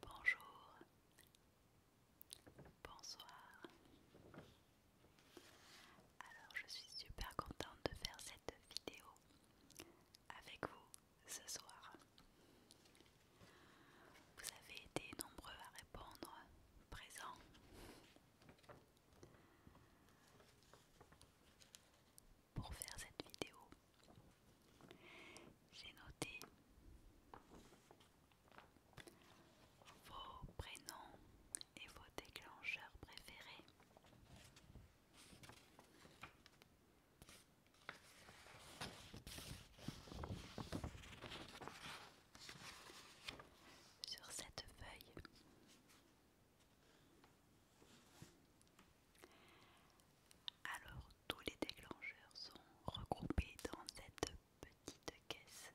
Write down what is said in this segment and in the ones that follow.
Bonjour, bonsoir. Alors je suis super contente de faire cette vidéo avec vous ce soir. Vous avez été nombreux à répondre présent. Pour faire cette vidéo, j'ai noté vos prénoms et vos déclencheurs préférés. Sur cette feuille, alors tous les déclencheurs sont regroupés dans cette petite caisse.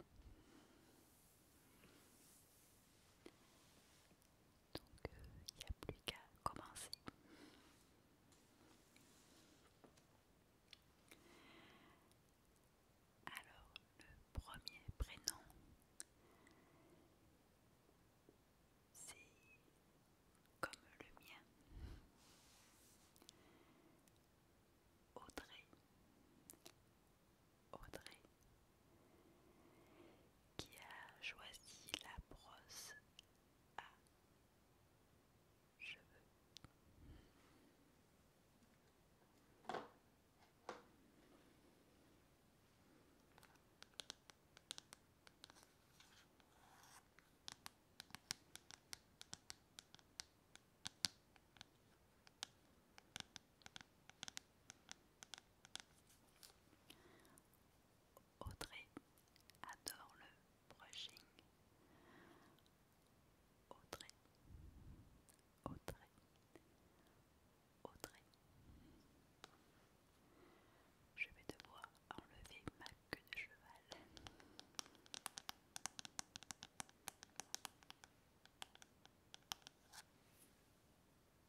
Donc il euh, n'y a plus qu'à commencer. Alors, le premier prénom, c'est comme le mien. Audrey. Audrey qui a choisi la brosse je veux. Audrey adore le brushing. Audrey, Audrey, Audrey. Je vais devoir enlever ma queue de cheval.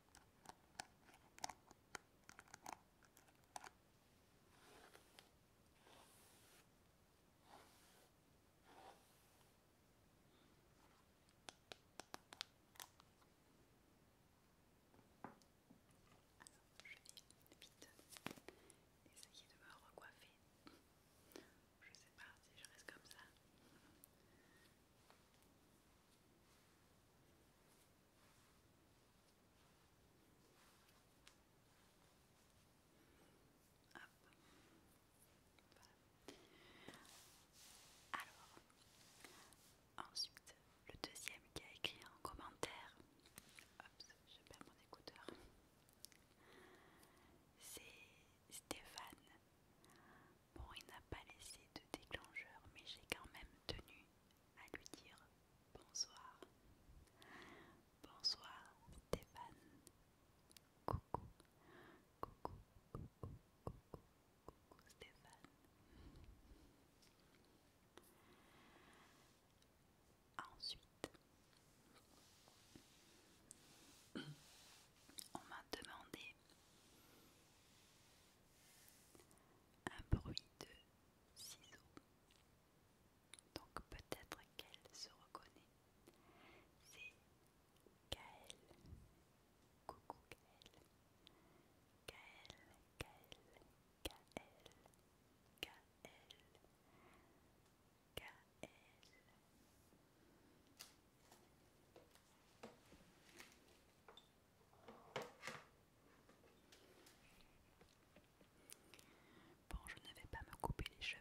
Je vais vite essayer de me recoiffer. Je sais pas si je reste comme ça. Alors, ensuite, le deuxième qui a écrit en commentaire, je perds mon écouteur, c'est Stéphane. Bon, il n'a pas laissé de déclencheur, mais j'ai quand même tenu à lui dire bonsoir. Bonsoir Stéphane. Coucou. Coucou. Coucou. Coucou. Coucou Stéphane. Ensuite, on m'a demandé un bruit de ciseaux. Donc peut-être qu'elle se reconnaît. C'est Kael. Coucou Kael. Kael, Kael, Kael, Kael, Bon, je n'avais pas me couper les cheveux.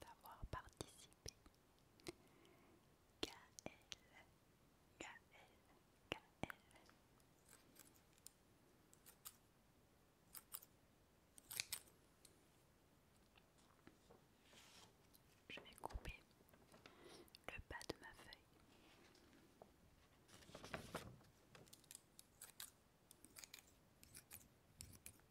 d'avoir participé. KL, Je vais couper le bas de ma feuille.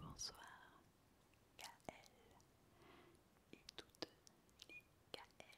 Bonsoir KL et toutes les KL,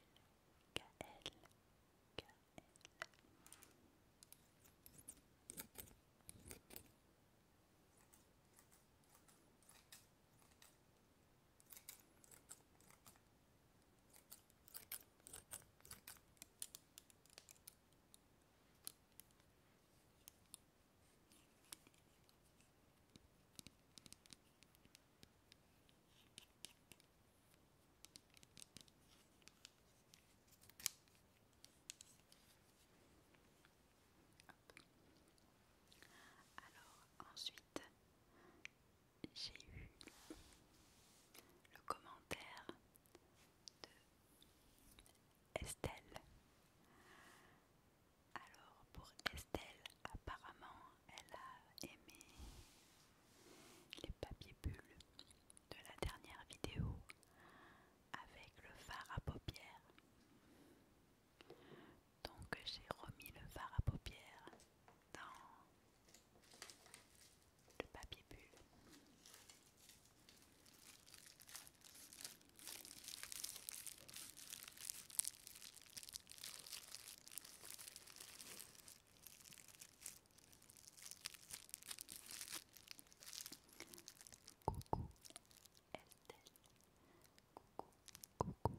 alors ensuite, j'ai eu le commentaire de Estelle. Alors pour Estelle, apparemment, elle a aimé les papiers bulles de la dernière vidéo avec le fard à paupières. Donc j'ai remis le fard à paupières dans le papier bulle. Coucou Estelle, coucou, coucou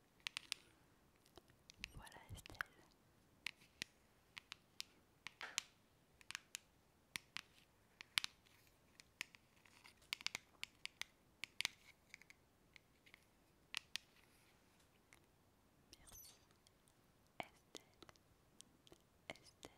Voilà Estelle. Merci Estelle. Estelle. Estelle.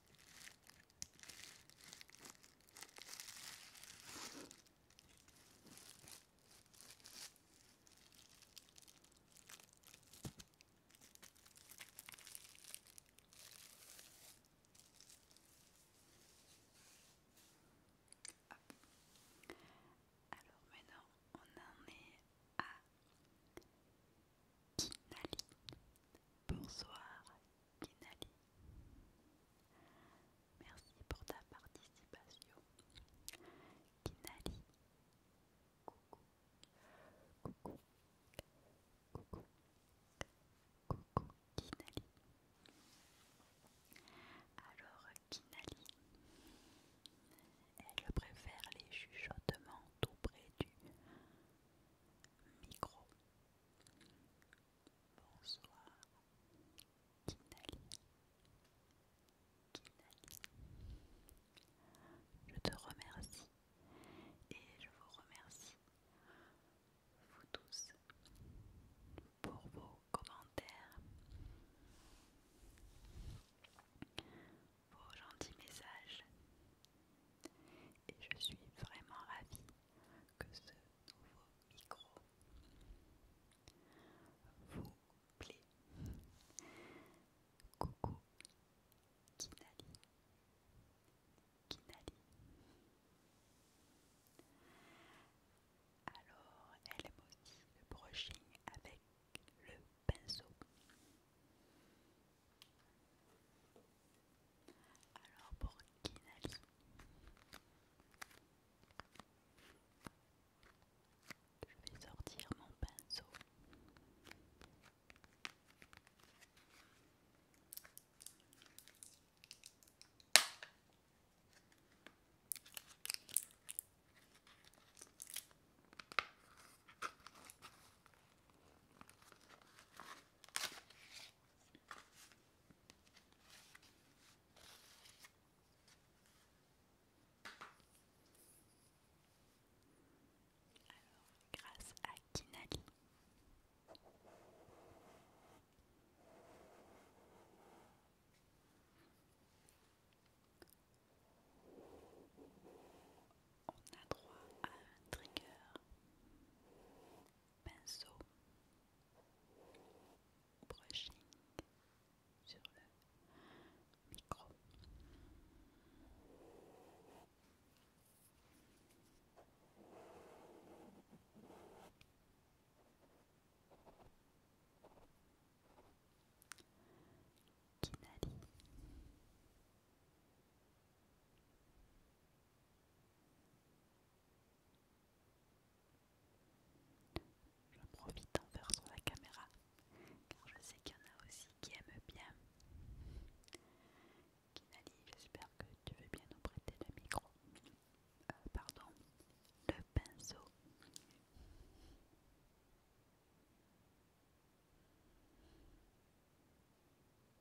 Alors maintenant on en est à Kinali. Bonsoir Kinali. Merci pour ta participation. Kinali. Coucou. Coucou. Coucou. Coucou Kinali. Alors Kinali, elle préfère les chuchotements tout près du micro. Bonsoir. Kinali. Kinali. Je te remercie et je vous remercie, vous tous, pour vos commentaires, vos gentils messages. Et je suis vraiment ravie que ce nouveau micro vous plaît. Coucou Kinali. Kinali. Alors, elle aime aussi le brochet avec le pinceau. Alors pour Kinali. Je vais sortir mon pinceau. Alors, grâce à Kinali. On a droit à un trigger pinceau, brushing sur le micro. Kinali. J'en profite envers sur la caméra, car je sais qu'il y en a aussi qui aiment bien. Kinali, j'espère que tu veux bien nous prêter le micro. Euh, pardon, le pinceau.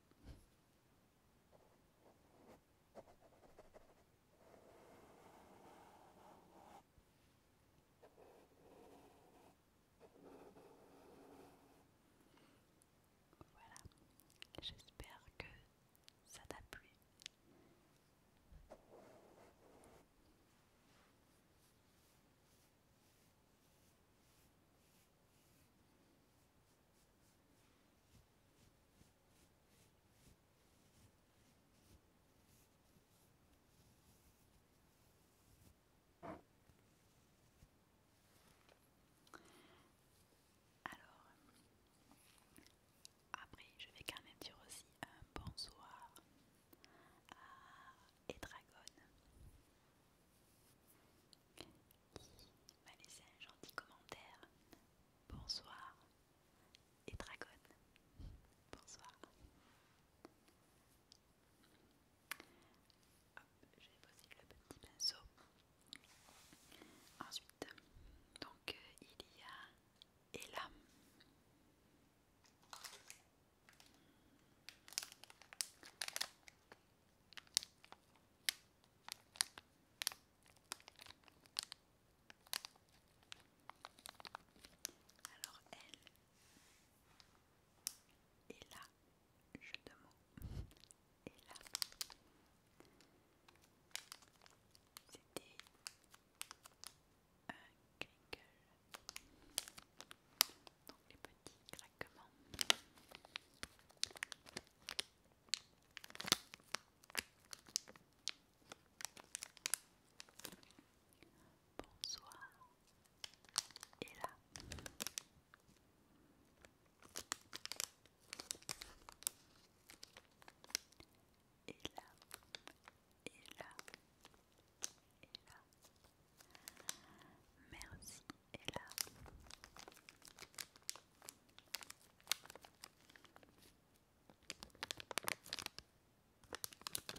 Voilà, j'espère que ça t'a plu. Alors, après, je vais quand même dire aussi un bonsoir à Edragon qui m'a laissé un gentil commentaire. Bonsoir, et Dragon. Bonsoir. Hop, j'ai posé le petit pinceau. Ensuite, donc euh, il y a Ella. Alors elle est là, jeu de mots, et là. C'était un donc les petits Bonsoir. et là, et là, et là, Merci Et là, et là, et là, et là,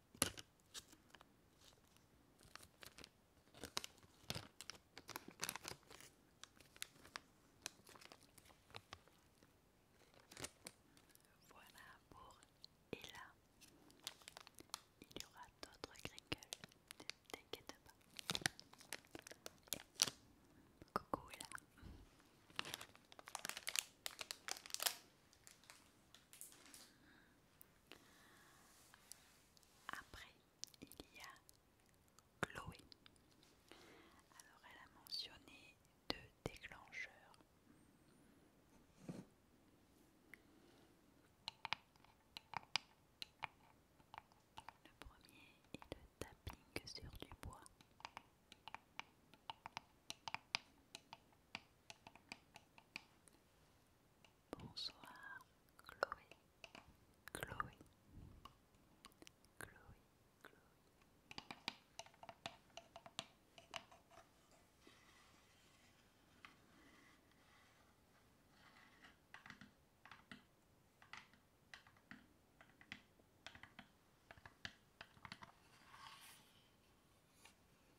Voilà pour Ella. il y aura d'autres ne t'inquiète pas. coucou Ella. Après, il y a Chloé. Alors, elle a mentionné deux déclencheurs. Le premier est le tapping sur du bois. Bonsoir Chloé, Chloé, Chloé, Chloé.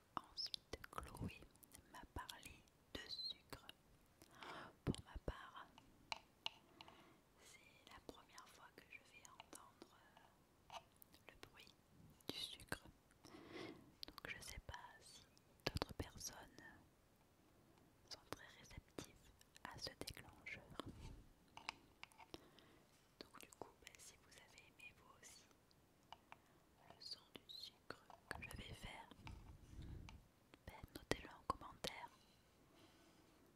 Alors, ensuite Chloé m'a parlé de sucre. Pour ma part, c'est la première fois que je vais entendre euh, le bruit du sucre. Donc je sais pas si d'autres personnes sont très réceptives à ce déclencheur. Donc du coup, bah, si vous avez aimé vous aussi le son du sucre que je vais faire, bah, notez-le en commentaire.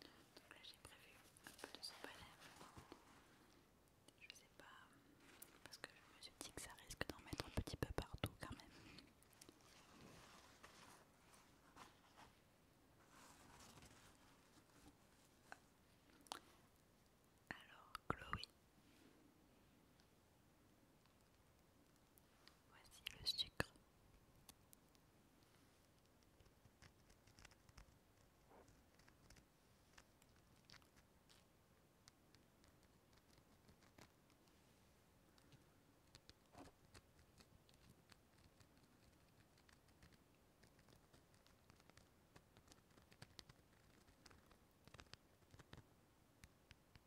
Donc là j'ai prévu un peu de ce à Je sais pas, parce que je me suis dit que ça risque d'en mettre un petit peu partout quand même. Alors Chloé. Voici le sucre.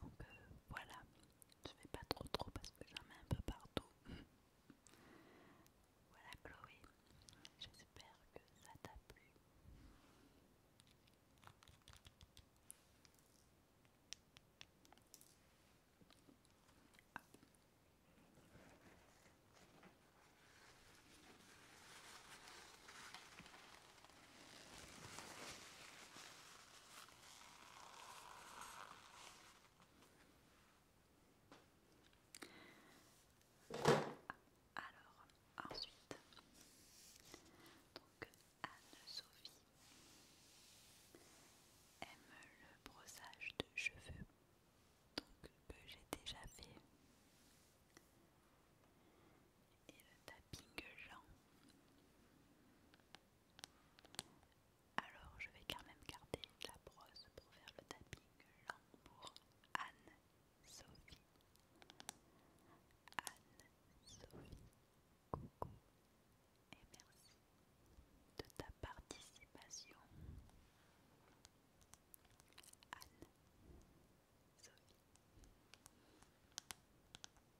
Donc euh, voilà, je fais pas trop trop parce que j'en mets un peu partout. voilà Chloé, j'espère que ça t'a plu. Alors, ensuite, donc Anne-Sophie aime le brossage de cheveux, donc que j'ai déjà fait, et le tapping jambes. Alors je vais quand même garder la brosse pour faire le tapping lent pour Anne-Sophie. Anne-Sophie, coucou et merci de ta participation. Anne-Sophie.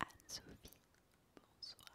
Anne-Sophie, bonsoir.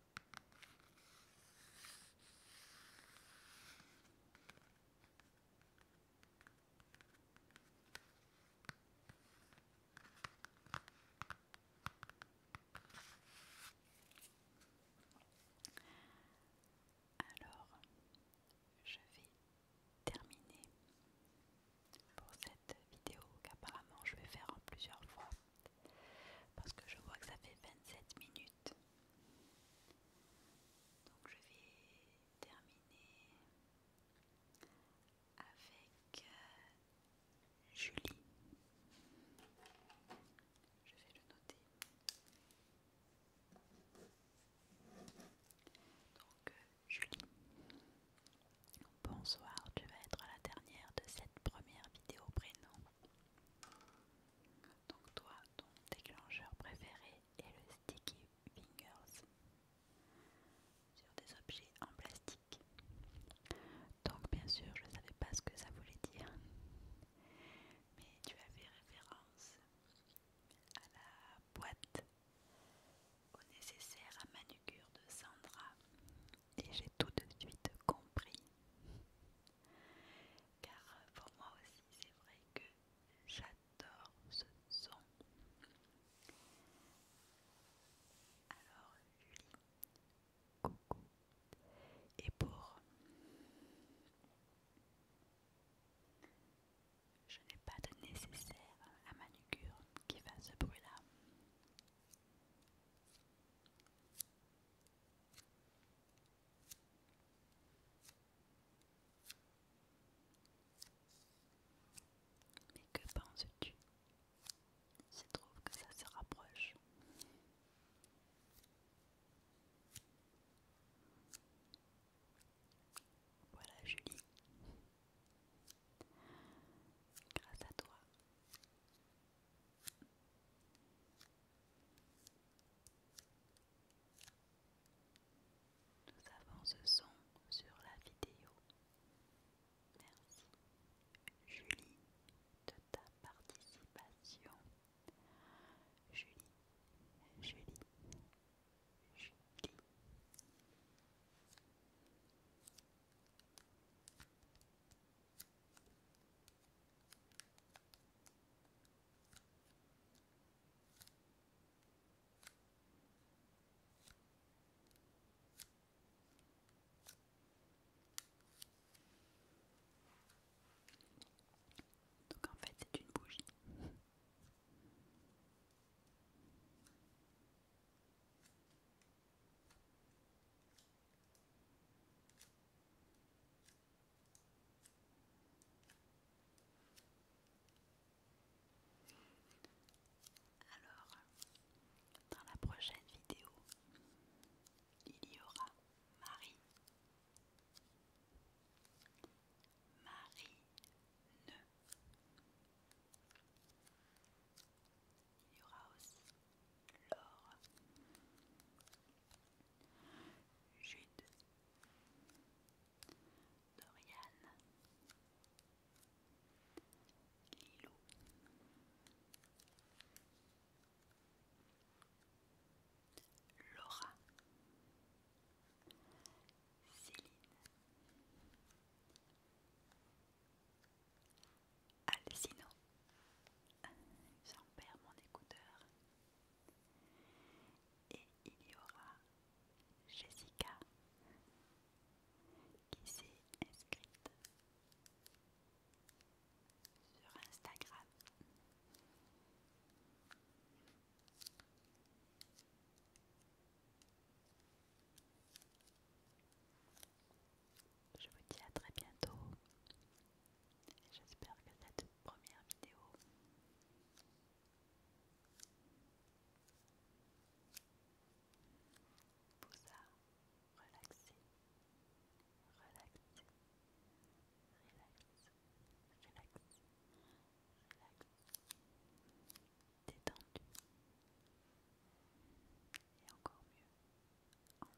Alors, je vais terminer pour cette vidéo qu'apparemment je vais faire en plusieurs fois parce que je vois que ça fait 27 minutes. Donc je vais terminer avec euh, Julie. Je vais le noter. Donc euh, Julie. Bonsoir, tu vas être la dernière de cette première vidéo prénom. Donc toi, ton déclencheur préféré est le sticky fingers sur des objets en plastique. Donc bien sûr, je ne savais pas ce que ça voulait dire. Mais tu as fait référence à la boîte au nécessaire à manucure de Sandra et j'ai tout de suite compris. Car pour moi aussi, c'est vrai que j'adore ce son. Alors, Julie, coucou. Et pour... Je n'ai pas de nécessaire à manucure qui fasse ce bruit-là. Mais que penses-tu se trouve que ça se rapproche. Voilà Julie. Grâce à toi, nous avons ce son sur la vidéo. Merci Julie de ta participation. Julie, Julie, Julie. Donc en fait c'est une bougie. Alors, dans la prochaine vidéo, il y aura Marie. Marie-ne. Laura Laure, Jude, Dorian, Laura, Céline, sinon J'en perds mon écouteur. Et il y aura Jessica qui s'est inscrite sur Instagram. Je vous dis à très bientôt. J'espère que cette première vidéo vous a relaxé, relaxé, relaxé, relaxé, relaxé, détendu, et encore mieux, endormi.